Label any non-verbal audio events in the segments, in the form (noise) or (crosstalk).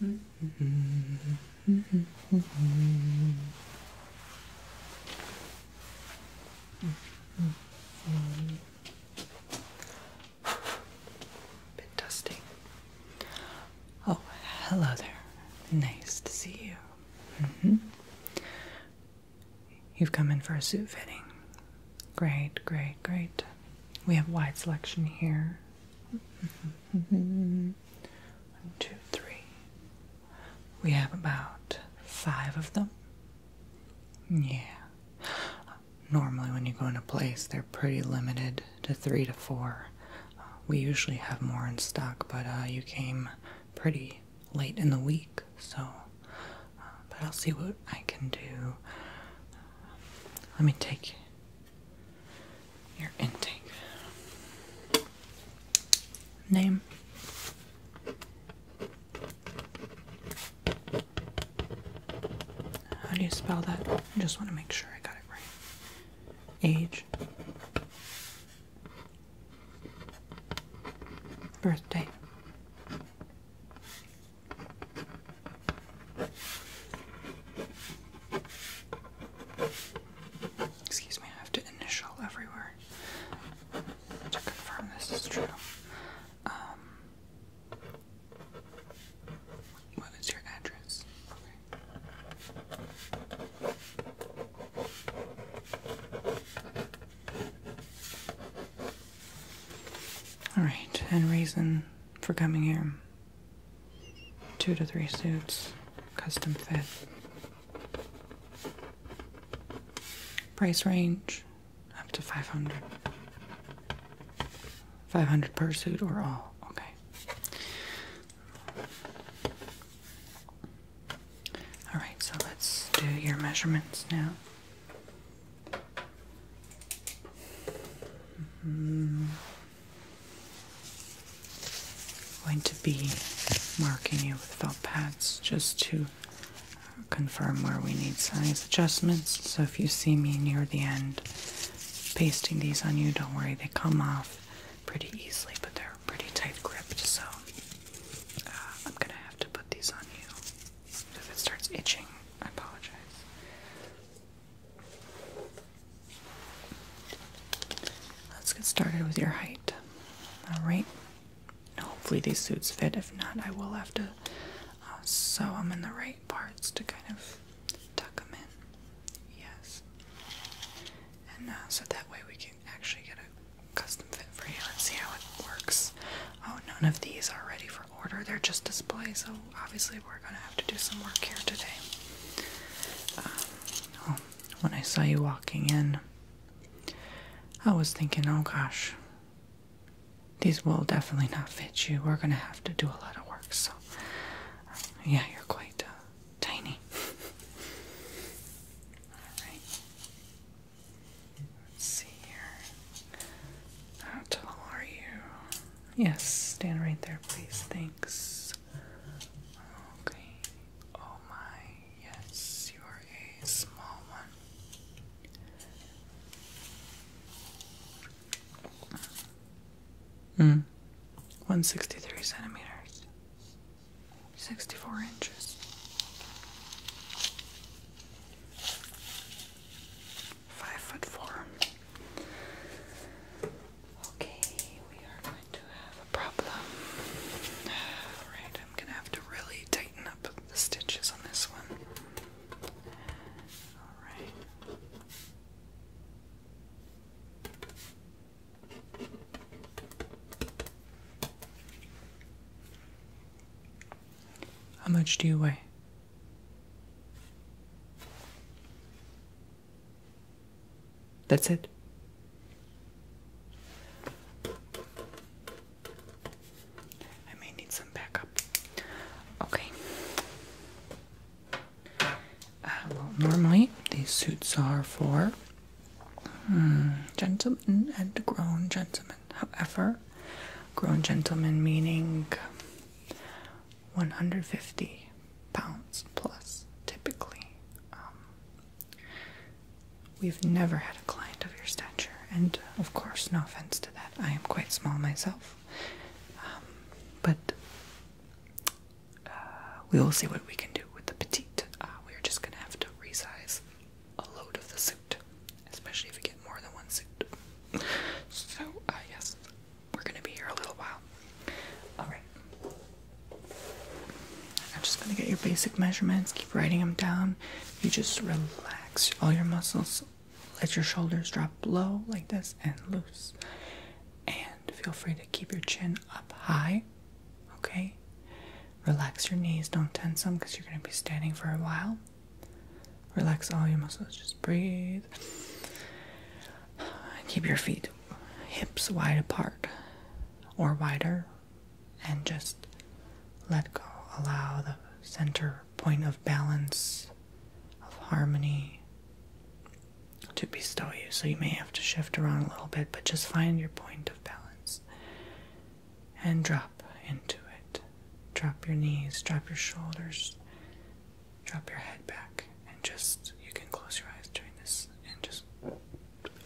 Been dusting. Oh, hello there. Nice to see you. Mm -hmm. You've come in for a suit fitting. Great, great, great. We have wide selection here. One, two, three. We have about five of them. Yeah. Normally, when you go in a place, they're pretty limited to three to four. Uh, we usually have more in stock, but uh, you came pretty late in the week, so. Uh, but I'll see what I can do. Let me take your intake. Name. How do you spell that? I just want to make sure I got it right. Age. Birthday. Excuse me, I have to initial everywhere to confirm this is true. Um, what is your address? All right, and reason for coming here. Two to three suits, custom fit. Price range up to 500. 500 per suit or all. Okay. All right, so let's do your measurements now. Mm -hmm. Going to be marking you with felt pads just to confirm where we need size adjustments. So if you see me near the end pasting these on you, don't worry, they come off pretty easily, but they're pretty tight gripped. So uh, I'm gonna have to put these on you. If it starts itching, I apologize. Let's get started with your height. Alright. Hopefully these suits fit. If not, I will have to uh, sew them in the right parts to kind of tuck them in. Yes. And uh, so that way we can actually get a custom fit for you. and see how it works. Oh, none of these are ready for order. They're just displays. so obviously actually we're gonna have to do some work here today. Um, oh, when I saw you walking in, I was thinking, oh gosh, these will definitely not fit you. We're gonna have to do a lot of work. So, um, yeah, you're quite uh, tiny. (laughs) All see here. How tall are you? Yes, stand right there, please. Thanks. Okay. Oh my, yes, you are a small one. Hmm. 163 centimeters. 64 inches five foot four. Okay, we are going to have a problem. (sighs) Alright, I'm gonna have to really tighten up the stitches on this one. Alright. How much do you weigh? That's it. I may need some backup. Okay. Uh, well, normally these suits are for hmm, gentlemen and grown gentlemen. However, grown gentlemen meaning 150 pounds plus typically. Um, we've never had a client of your stature, and of course, no offense to that, I am quite small myself. Um, but uh, we will see what we can do with the petite. Uh, we're just gonna have to resize a load of the suit, especially if we get more than one suit. So, yes, we're gonna be here a little while. Alright. I'm just gonna get your basic measurements, keep writing them down. You just relax all your muscles, let your shoulders drop low like this and loose. And feel free to keep your chin up high, okay? Relax your knees, don't tense them because you're gonna be standing for a while. Relax all your muscles. Just breathe. Keep your feet, hips wide apart or wider, and just let go. Allow the center point of balance, of harmony to bestow you. So you may have to shift around a little bit, but just find your point of balance and drop into it. Drop your knees, drop your shoulders, drop your head back and just you can close your eyes during this and just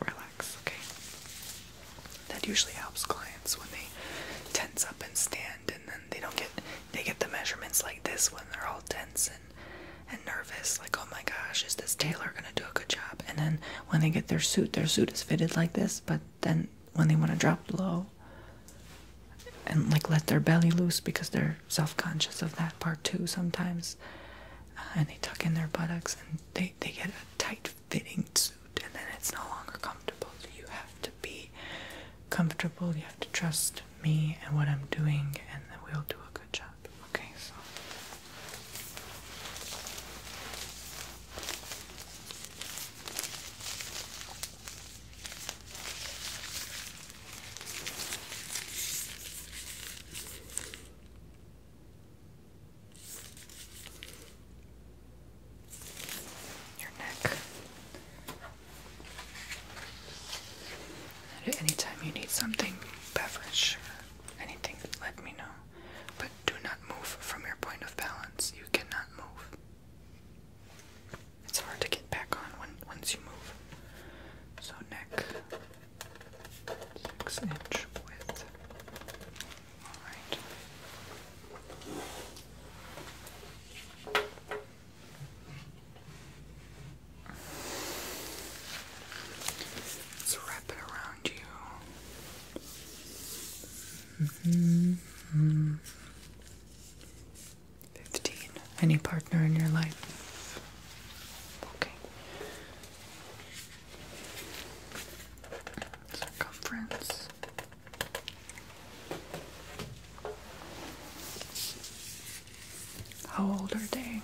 relax, okay? That usually helps clients when they tense up and stand and then they don't get they get the measurements like this when they're all tense and and nervous, like oh my gosh, is this tailor gonna do a good job? And then when they get their suit, their suit is fitted like this, but then when they want to drop low and like let their belly loose because they're self-conscious of that part too sometimes uh, and they tuck in their buttocks and they, they get a tight-fitting suit and then it's no longer comfortable so you have to be comfortable you have to trust me and what i'm doing and then we'll do a good job okay so your neck. anytime you need something, beverage, anything, let me know. But do not move from your point of balance. You cannot move it's hard to get back on when once you move. So neck six inch width. Alright. Let's wrap it around you. Mm-hmm. Mm-hmm. 15. Any partner in your life? Okay. Circumference. How old are they?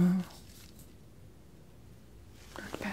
Oh. Not bad.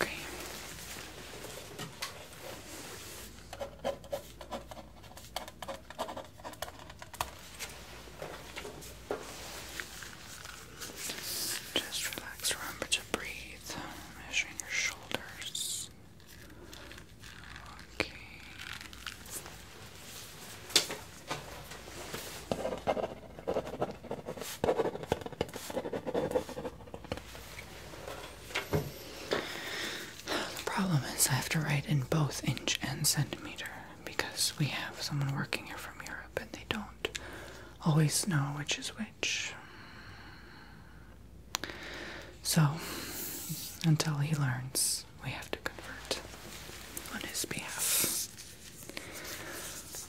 Okay. Just relax, remember to breathe, measuring your shoulders. Okay. The problem is, I have to write in both inch and centimeter because we have someone working here from Europe and they don't always know which is which. So, until he learns, we have to convert on his behalf.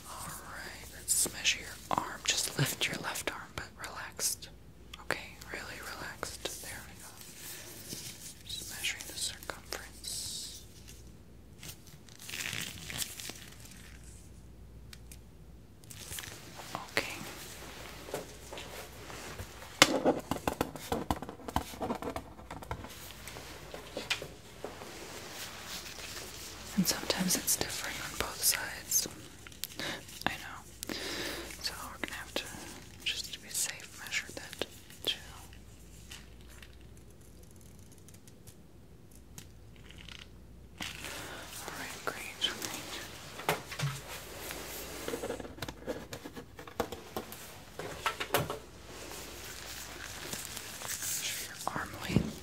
Alright, let's measure your arm. Just lift your left arm, but relaxed. Okay, really relaxed. There we go. Just measuring the circumference. Okay. And sometimes it's different on both sides. I know. So we're gonna have to, just to be safe, measure that too. Alright, great, your arm length.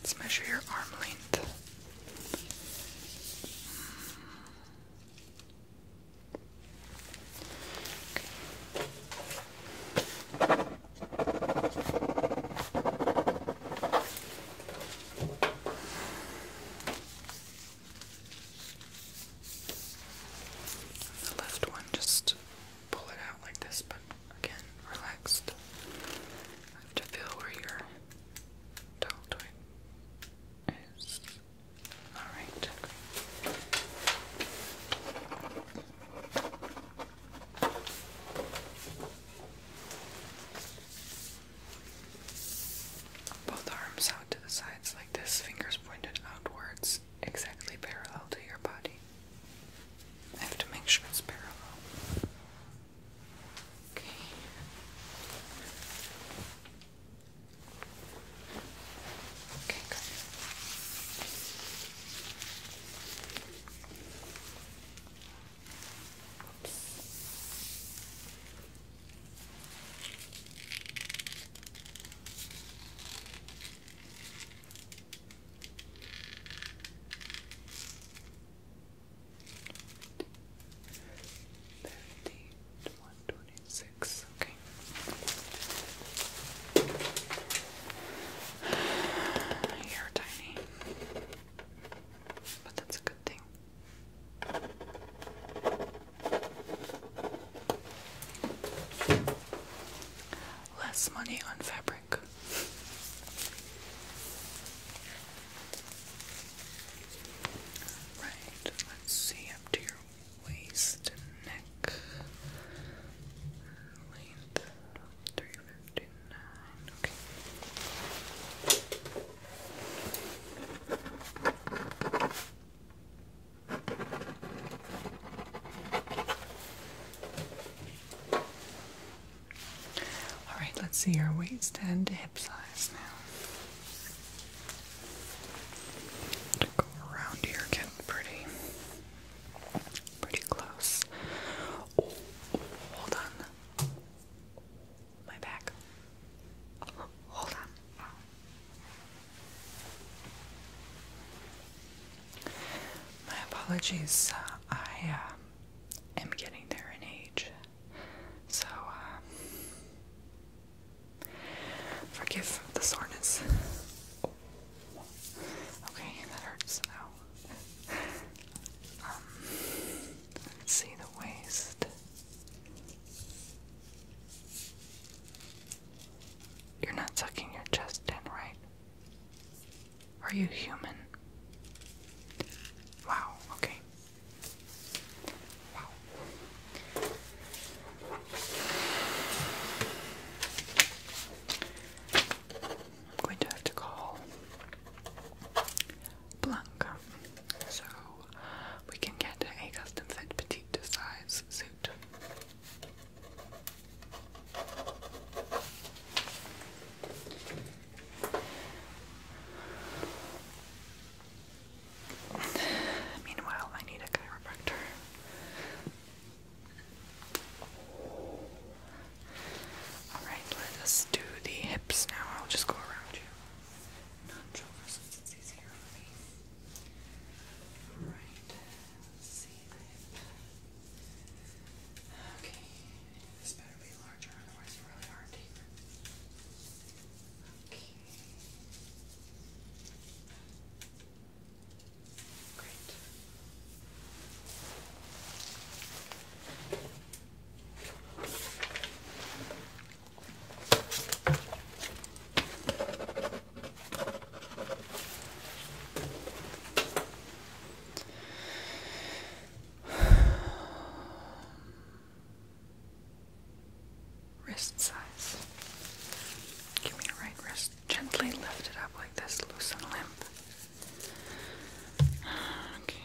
Let's measure your arm length. The left one just pull it out like this, but again, relaxed. have to feel where your deltoid is. Alright. Both arms out to the sides like this, fingers pointed outwards exactly parallel to your body. I have to make sure it's parallel. Okay. Okay, good. Thirty Okay. You're tiny, but that's a good thing less money on fabric. Right, let's see up to your waist neck. Length 359. All right, let's see your waist and hip size now. To around here, get pretty, pretty close. Oh, hold on, my back. Hold on. My apologies, uh, I uh, am getting there in age, so uh, forgive the soreness. Okay, that hurts um, let's see the waist. You're not tucking your chest in, right? Are you human? Wow, okay. Wow. I'm going to have to call Blanca so we can get a custom fit petite size suit. Meanwhile, I need a chiropractor. Alright, let us do the hips now. I'll just go around you. Not Okay, this better be larger, otherwise it's really hard to hear. Okay. Great. Okay. (sighs) Wrist size. Give me your right wrist. Gently lift it up like this, loose and limp. (sighs) Okay.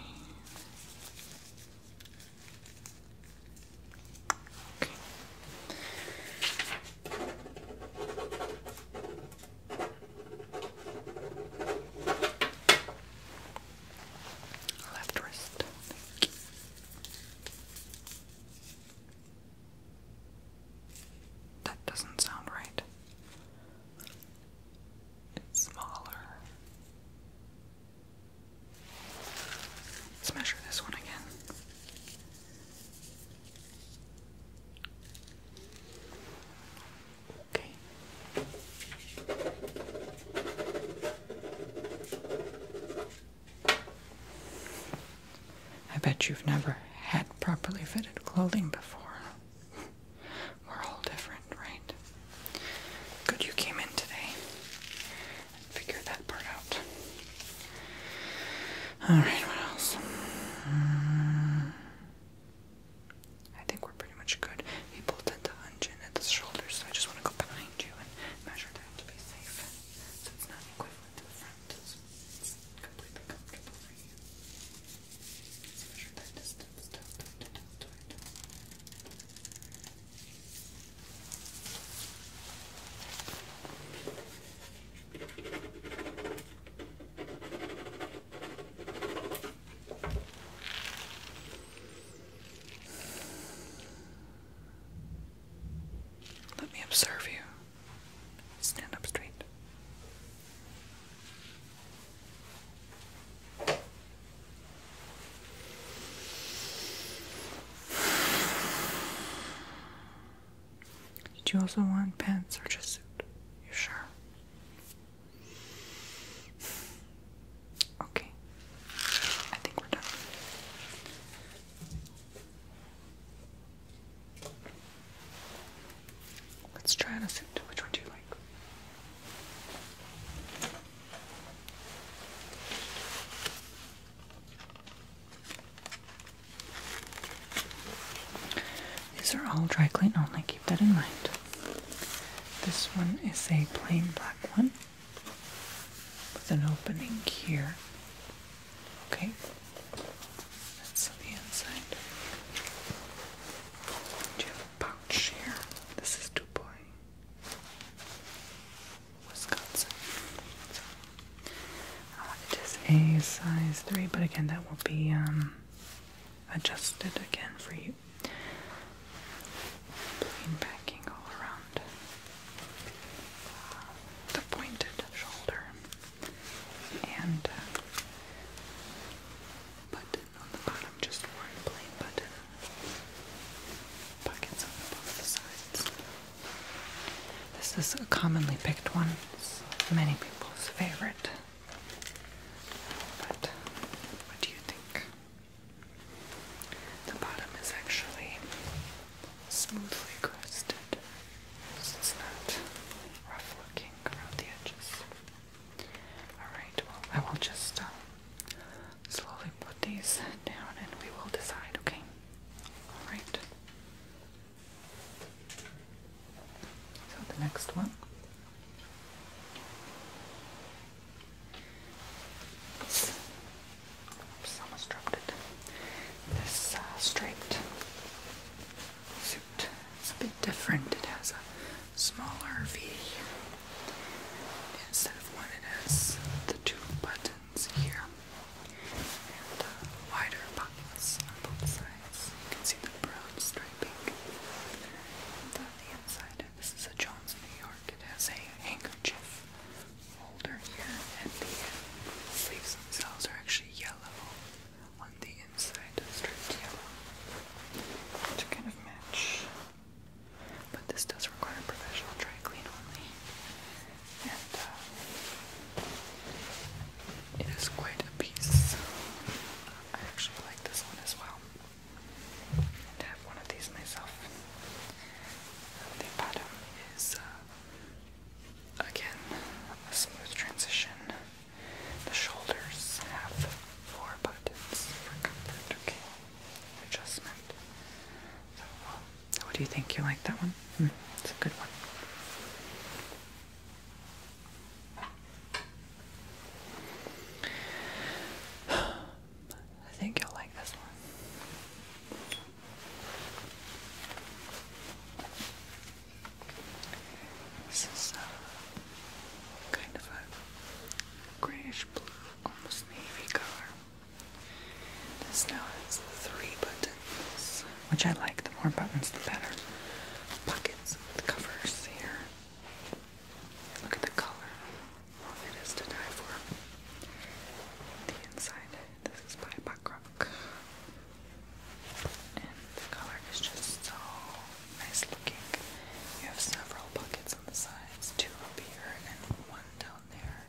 Left wrist. That doesn't sound right. smaller. Let's measure this one again. Okay. I bet you've never had properly fitted clothing before. We're all different, right? Good you came in today and figured that part out. All right, what else? Mm. I think we're pretty much good. We pulled at the at the shoulder, so I just want to go behind you and measure that to be safe. So it's not the front. So completely comfortable for you. measure that distance. Let me observe you. Stand up straight. Did you also want pants or just suit? You sure? Okay. I think we're done. Let's try on a suit. Which one do you like? These are all dry clean only, keep that in mind. This one is a plain black one with an opening here. Okay, that's the inside. Do you have a pouch here? This is Dubois, Wisconsin. Uh, it is a size 3, but again, that will be um, adjusted again for you. Plain backing all around uh, the pointed shoulder and uh, button on the bottom, just one plain button. Pockets on both sides. This is a commonly picked one. many people's favorite. But what do you think? The bottom is actually smoothly crusted. So it's not rough looking around the edges. Alright, well, I will just uh, slowly put these down and we will decide, okay? Alright. So the next one. almost dropped it. This uh, striped suit is a bit different. It has a smaller V. Instead of one, it has the two buttons here and uh, wider buttons on both sides. You can see the brown striping on the inside. This is a John's New York. It has a handkerchief holder here, and the sleeves themselves are actually yellow on the inside, striped yellow, to kind of match. But this does require professional dry clean only. Uh, it is quite a piece. Uh, I actually like this one as well. And I have one of these myself. The bottom is, uh, again, a smooth transition. The shoulders have four buttons for comfort, Adjustment. what do you think? You like that one? Hmm, it's a good one. I think you'll like this one. This is uh, kind of a grayish blue, almost navy color. This now has three buttons which I like. The more buttons, the better. Pockets with covers here. Look at the color. Well, it is to die for. The inside, this is by Buckrock. And the color is just so nice looking. You have several buckets on the sides, two up here and one down there.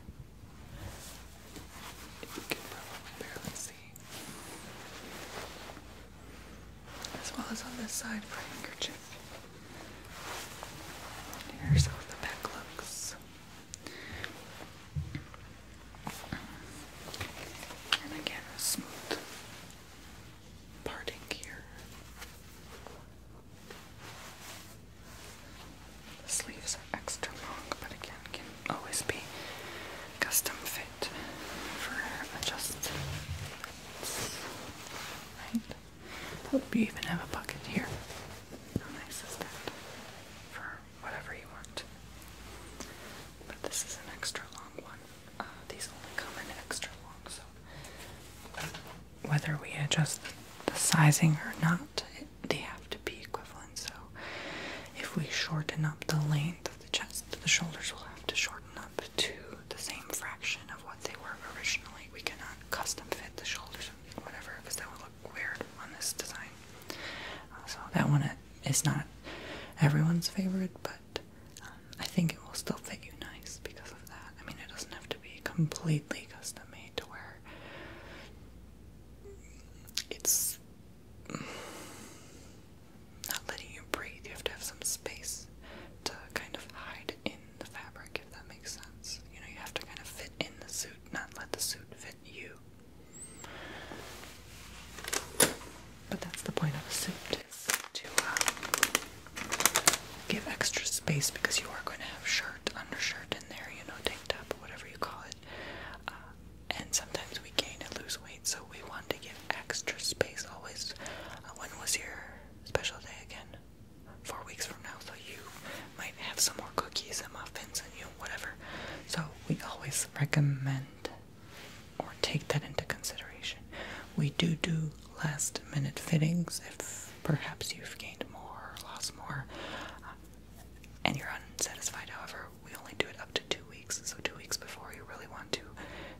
You can barely see as well as on this side for a handkerchief. here's how the back looks. And again, smooth parting here. The sleeves are extra long, but again, can always be custom fit fit for adjustments. Right? Hope you even have a bucket here. Oh, nice is that? For whatever you want. But this is an extra long one. Uh, these only come in extra long, so whether we adjust the sizing or not, they have to be equivalent. So if we shorten up the length the chest. The shoulders will have to shorten up to the same fraction of what they were originally. We cannot custom fit the shoulders whatever because that would look weird on this design. Uh, so that one uh, is not everyone's favorite, but um, I think it will still fit you nice because of that. I mean, it doesn't have to be completely custom made to where it's not letting you breathe. You have to have some space to kind of hide in the fabric, if that makes sense. You know, you have to kind of fit in the suit, not let the suit fit you. But that's the point of a suit is to um, give extra space because you are going to have shirt, undershirt in there, you know, tank top, whatever you call it. Uh, and sometimes we gain and lose weight, so we want to give extra space always. Uh, when was your special day again? Four weeks from now, so you might have some more cookies and muffins and you know, whatever. So we always recommend or take that into consideration. We do do last minute fittings if perhaps you've gained more or lost more uh, and you're unsatisfied. However, we only do it up to two weeks, so two weeks before you really want to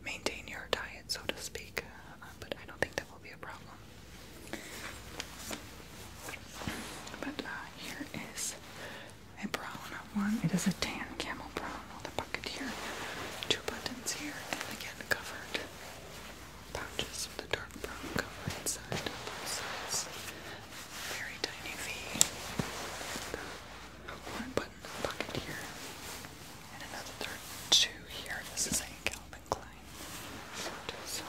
maintain your diet, so to speak. Uh, but I don't think that will be a problem. But uh, here is a brown one. It is a tan camel brown with a here, two buttons here, and again covered pouches with a dark brown cover inside Very tiny V one button pocket here, and another there two here. This is a Calvin Klein so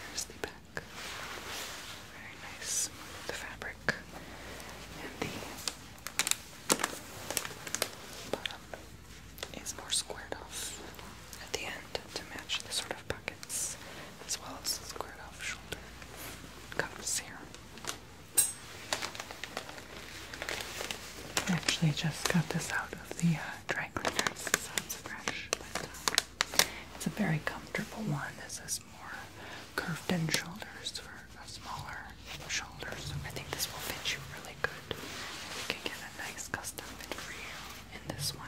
here's the back. Very nice, smooth fabric, and the bottom is more squared off at the end to match the pockets, as well as squared off shoulder cuffs here. I actually just got this out of the uh, dry cleaners, so it's fresh, but uh, it's a very comfortable one. This is more curved in shoulders for smaller shoulders. I think this will fit you really good. You can get a nice custom fit for you in this one.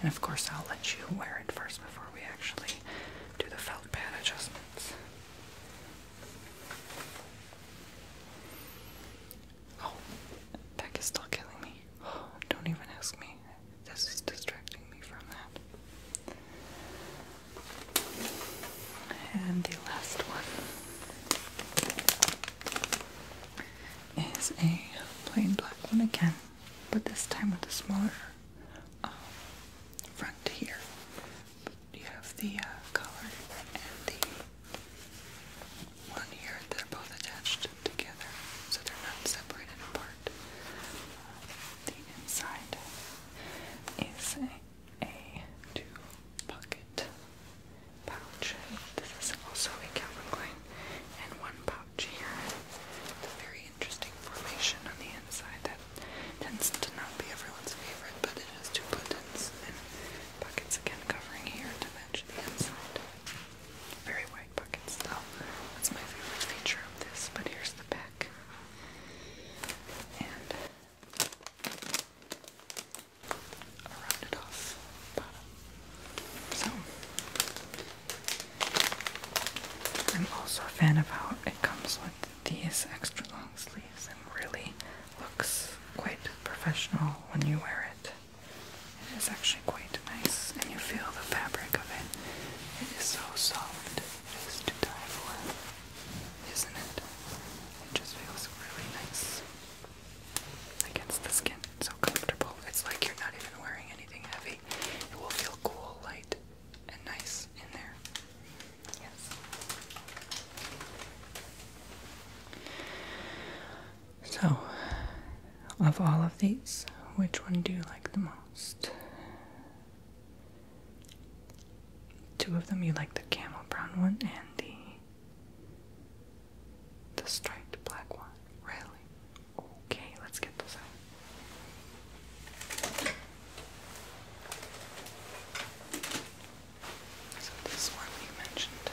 And of course, I'll let you wear it first before we actually do the felt pad adjustments. Oh, that is still killing me. (gasps) don't even ask me. This is distracting me from that. And the last one is a plain black one again but this time with a smaller um, front here. But you have the uh, color and the one here, they're both attached together, so they're not separated apart. The inside is a, two pocket pouch. This is also a Calvin Klein and one here. It's very interesting formation on the inside that tends to not be everyone's favorite, but it has two buttons and pockets again covering here to match the inside. Very wide pockets though. That's my favorite feature of this, but here's the back. And a rounded off so I'm also a fan of how it comes with these extra long sleeves and really looks quite professional when you wear it. It is actually quite nice and you feel the fabric of it. It is so soft. It is to die for, isn't it? It just feels really nice against the skin so comfortable. It's like you're not even wearing anything heavy. It will feel cool, light, and nice in there. Yes. So, of all of these, which one do you like the most? Two of them you like the camel brown one and the the striped black one. Really? Okay, let's get this out. So this one you mentioned.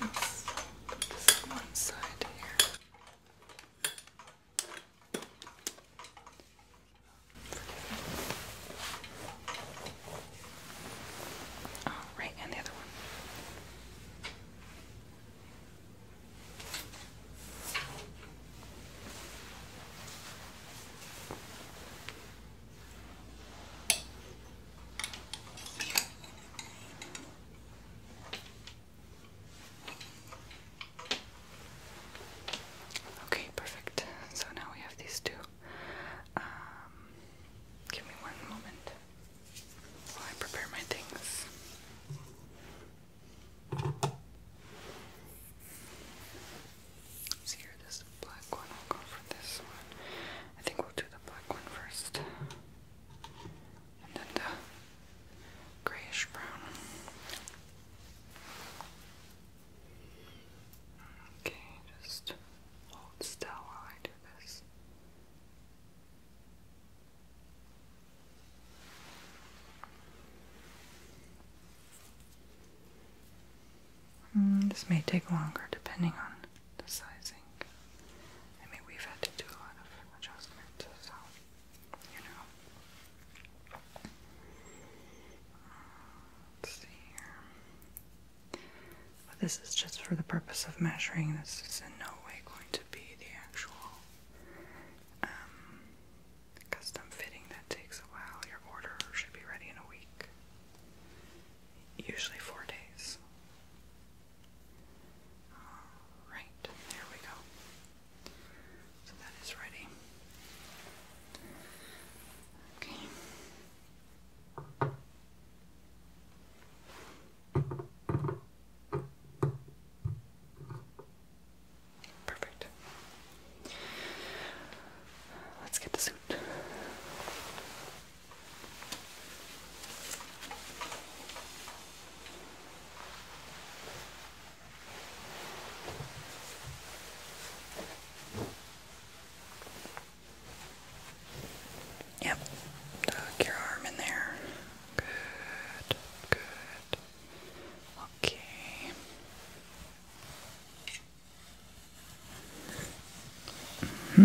Let's put this on one side here. All oh, right, and the other one. Okay, perfect. So now we have these two. Um, give me one moment while I prepare my things. Let's this black one. will go for this one. I think we'll do the black one first. And then the grayish brown. Okay, just hold still while I do this. Hmm, this may take longer depending on the sizing. I mean, we've had to do a lot of adjustments, so, you know. Hmm, let's see here. But this is just for the purpose of measuring. This is in no way going to be the actual um, custom fitting that takes a while. Your order should be ready in a week, usually four days. All right, there we go. So that is ready. Okay. Perfect. Let's get the suit. Yep. Tuck your arm in there. Good. Good. Okay. Mm-hmm.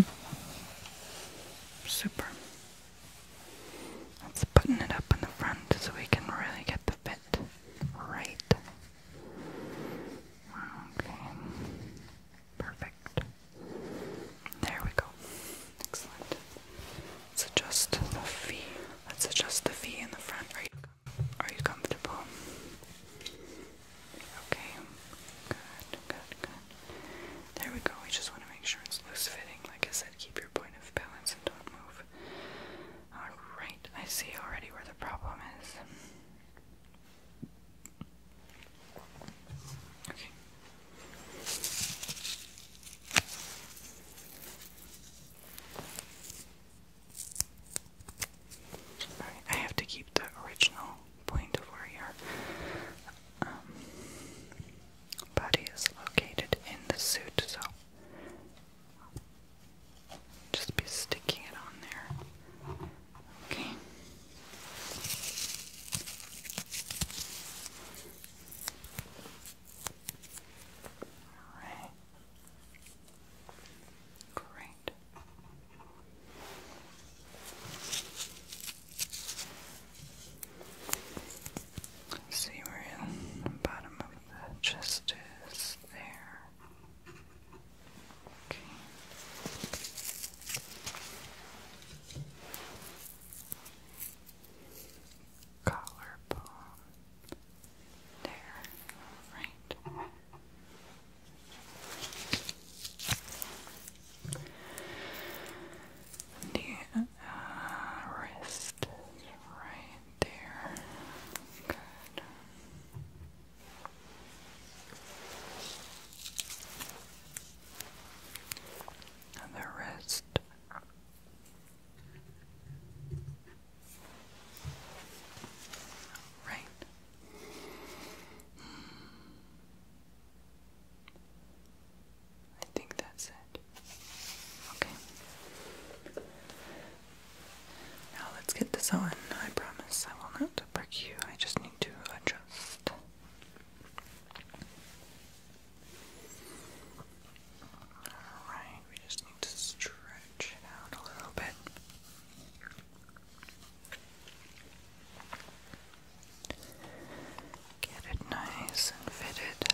Super. Let's button it up in the front so we can really get the fit right. Okay. Perfect. There we go. Excellent. Let's adjust the V. Let's adjust the V in the front. Are you are you comfortable? Okay. Good, good, good. There we go. We just want to make sure it's loose fitting. Like I said, keep your point of balance and don't move. Alright, I see already where the problem is. Okay. I have to keep the original point of where your um, body is located in the suit, so just be sticking it on there. Okay. All right. Great. Let's see in the bottom of the chest is there. Okay. Collarbone. There. Right. The uh, wrist right there. Good the wrist. Right. Hmm. I think that's it. Okay. Now let's get this on. I promise I will not break you. I just need to adjust Alright, we just need to stretch out a little bit. Get it nice and fitted.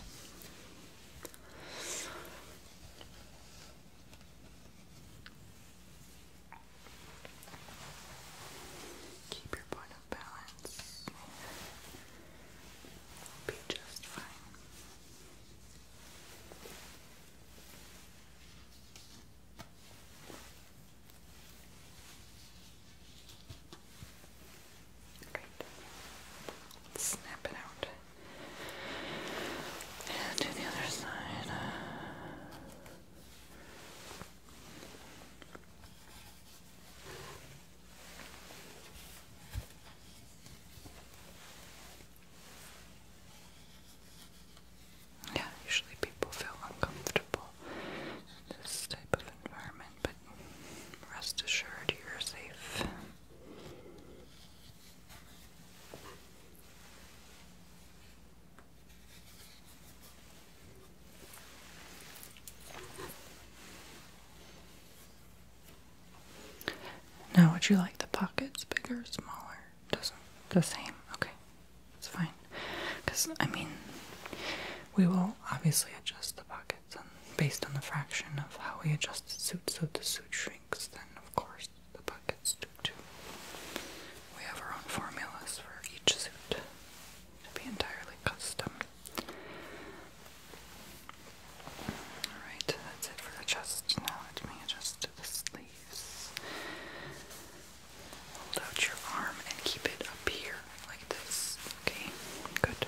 Keep your point of balance. be just fine. snap it out. And the other side. Yeah, usually people feel uncomfortable in this type of environment, but rest assured you're safe. Now, would you like the pockets bigger or smaller? does the same? Okay, it's fine. Because I mean, we will obviously adjust the pockets based on the fraction of how we adjust the suit. So if the suit shrinks, then of course the pockets do too. We have our own formulas for each suit to be entirely custom. Alright, that's it for the chest. Now let me adjust the sleeves. Hold out your arm and keep it up here like this. Okay, good.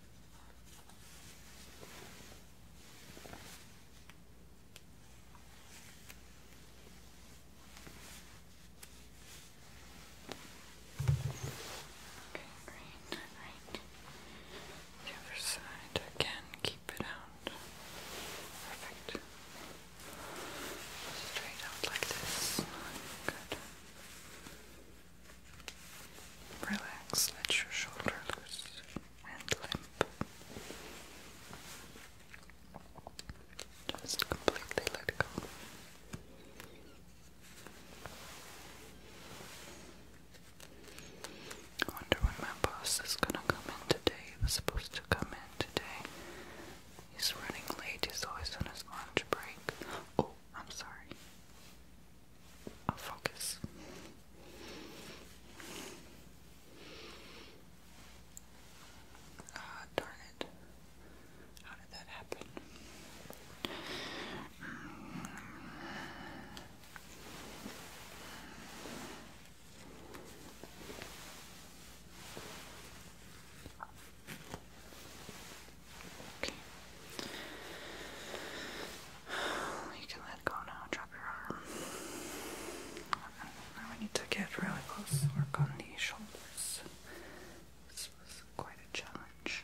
green, right. The other side again, keep it out. Perfect. Straight out like this. Good. Relax, let your shoulder loose and limp. Just completely let go. I wonder when my boss is gonna come in today. He was supposed to come in today. He's running late, he's always on his lunch break. Oh, I'm sorry. I'll focus. Ah, darn it. How did that happen? Okay. You can let go now. Drop your arm. Now we need to get really close. Work on the shoulders. This was quite a challenge.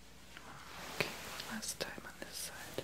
Okay, one last time on this side.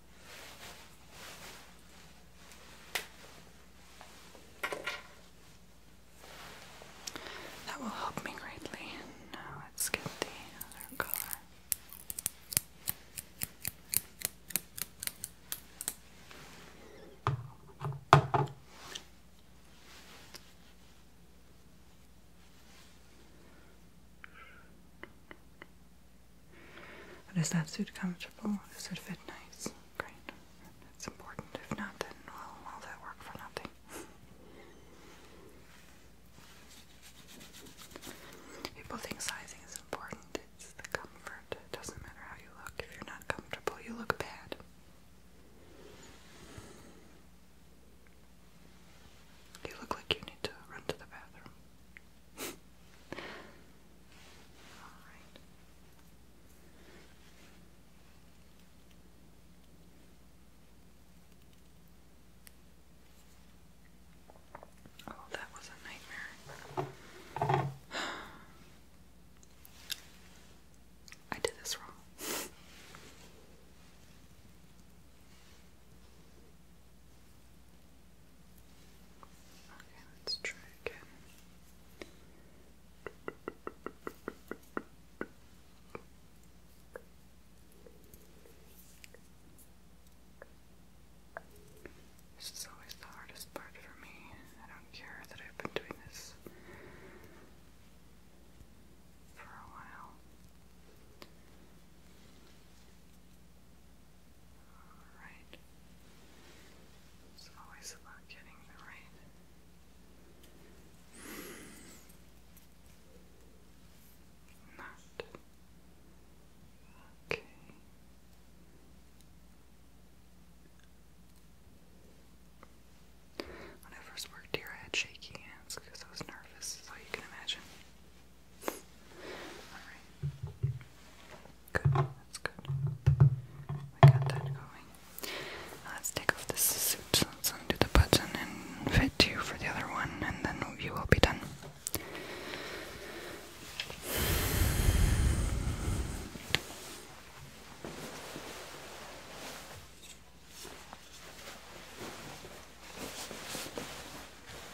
That will help me greatly. Now let's get the other color. But is that suit comfortable? Does it fit nice? Great. That's important. If not, then well, all that work for nothing. People think sizing is important. It's the comfort. It doesn't matter how you look. If you're not comfortable, you look bad. You look like you need to run to the bathroom. Oh, that was a nightmare. I did this wrong. Okay, let's try again. This is always the hardest part for me. I don't care that I've been doing this for a while. Alright. It's always about getting the right. Not. Okay. When I first worked here, I had shaky hands because I was nervous, so you can imagine. Alright. Good, that's good. We got that going. let's take off this suit. Let's undo the button and fit you for the other one, and then you will be done.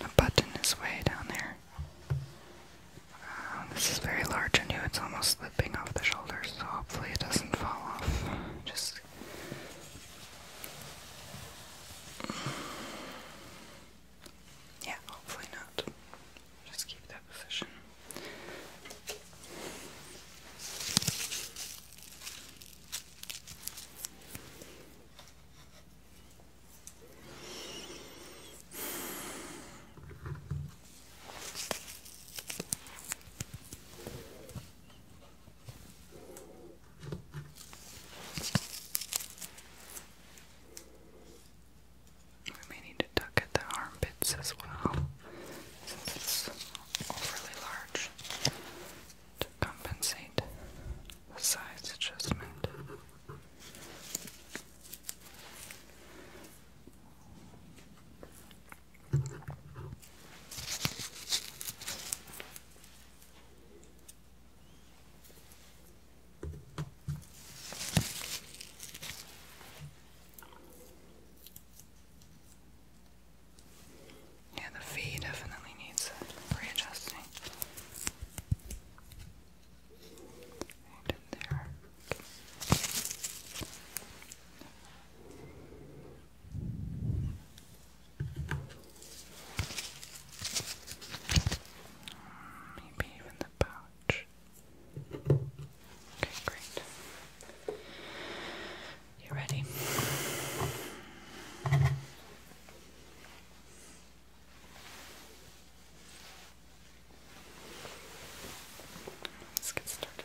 A button is way down there. Uh, this is very large and you. it's almost slipping off the shoulder, so hopefully it doesn't fall off. Just. Yeah, hopefully not. Just keep that position. We may need to tuck at the armpits as well, since it's overly large, to compensate the size adjustment. Yeah, the fee definitely needs readjusting. Maybe even the pouch. Okay, great. You ready? Let's get started.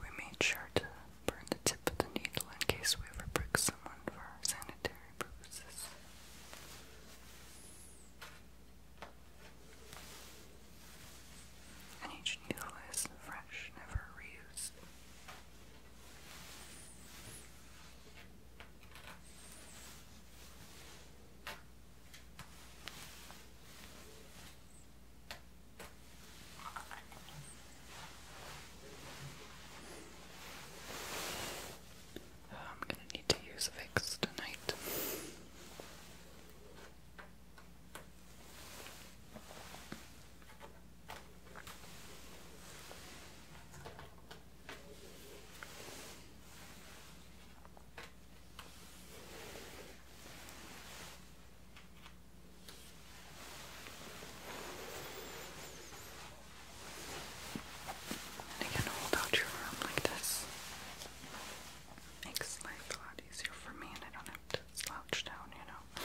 We made sure to burn the tip of the needle in case we ever prick someone for sanitary purposes. each needle is fresh, never reused. Oh, I'm going to need to use Vicks tonight. And you hold out your arm like this. Makes life a lot easier for me, and I don't have to slouch down, you know.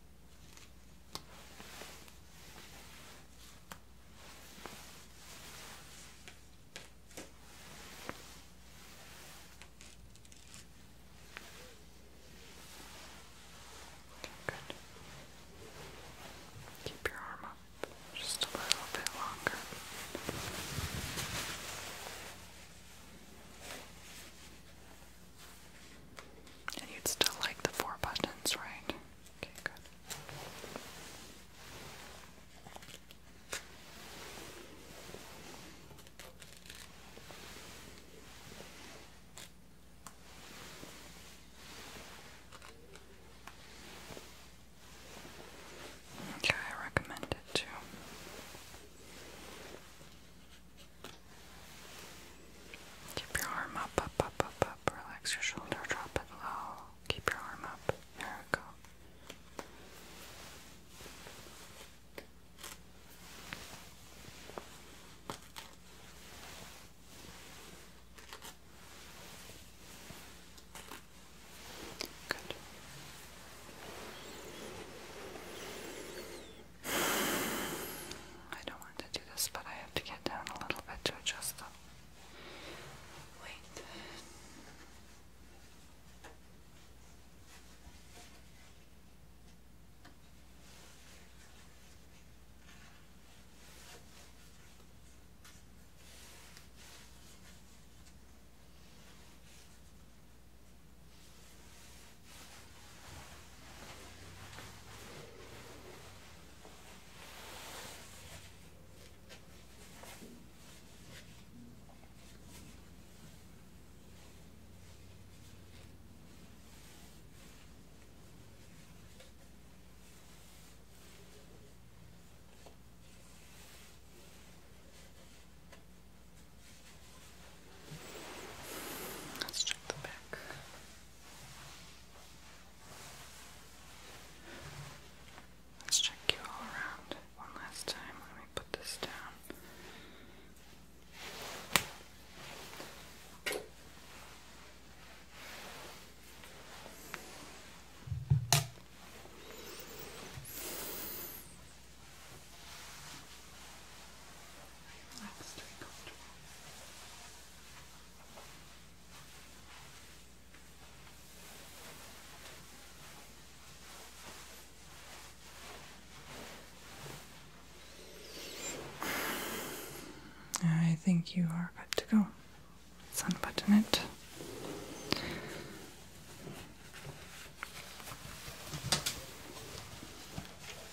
Good. Keep your arm up just a little bit longer. And you'd still like the four buttons, right? Okay, good. Okay, I recommend it too. Keep your arm up, up, up, up, up. Relax your shoulder, drop it low. Keep your arm up. There we go. Good. I don't want to do this, but I have to get down a little bit to adjust them. Wait. Let's check the back. Let's check you all around one last time. Let me put this down. That's very comfortable. I think you are good to go. Let's unbutton it.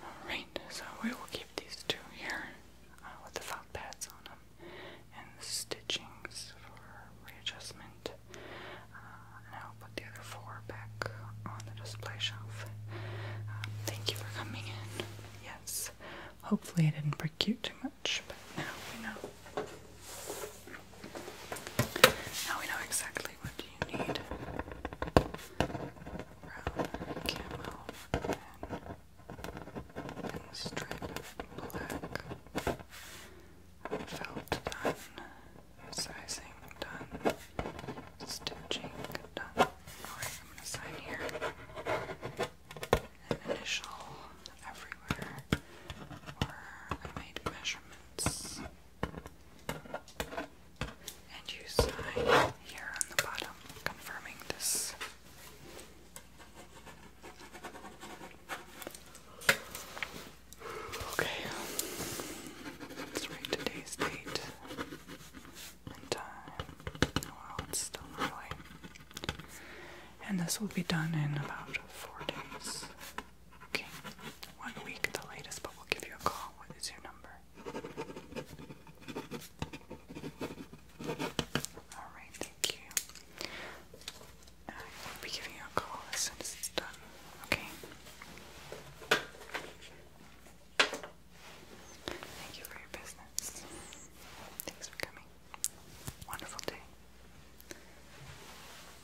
Alright, so we will keep these two here uh, with the felt pads on them and the stitchings for readjustment. Uh, and I'll put the other four back on the display shelf. Uh, thank you for coming in. Yes, hopefully I didn't break you too much, but now we know. Now we know exactly what you need? Brown, camel, and, and black. Felt done. Sizing done. Stitching done. I'm gonna sign here. initial everywhere. Or I made measurements. And you sign here on the bottom confirming this. Okay, let's write today's date and time. Well, it's still early. And this will be done in about four days. Okay, one week the latest, but we'll give you a call. What is your number? Alright, thank you. I uh, will be giving you a call as soon as it's done, okay? Thank you for your business. Thanks for coming. Wonderful day.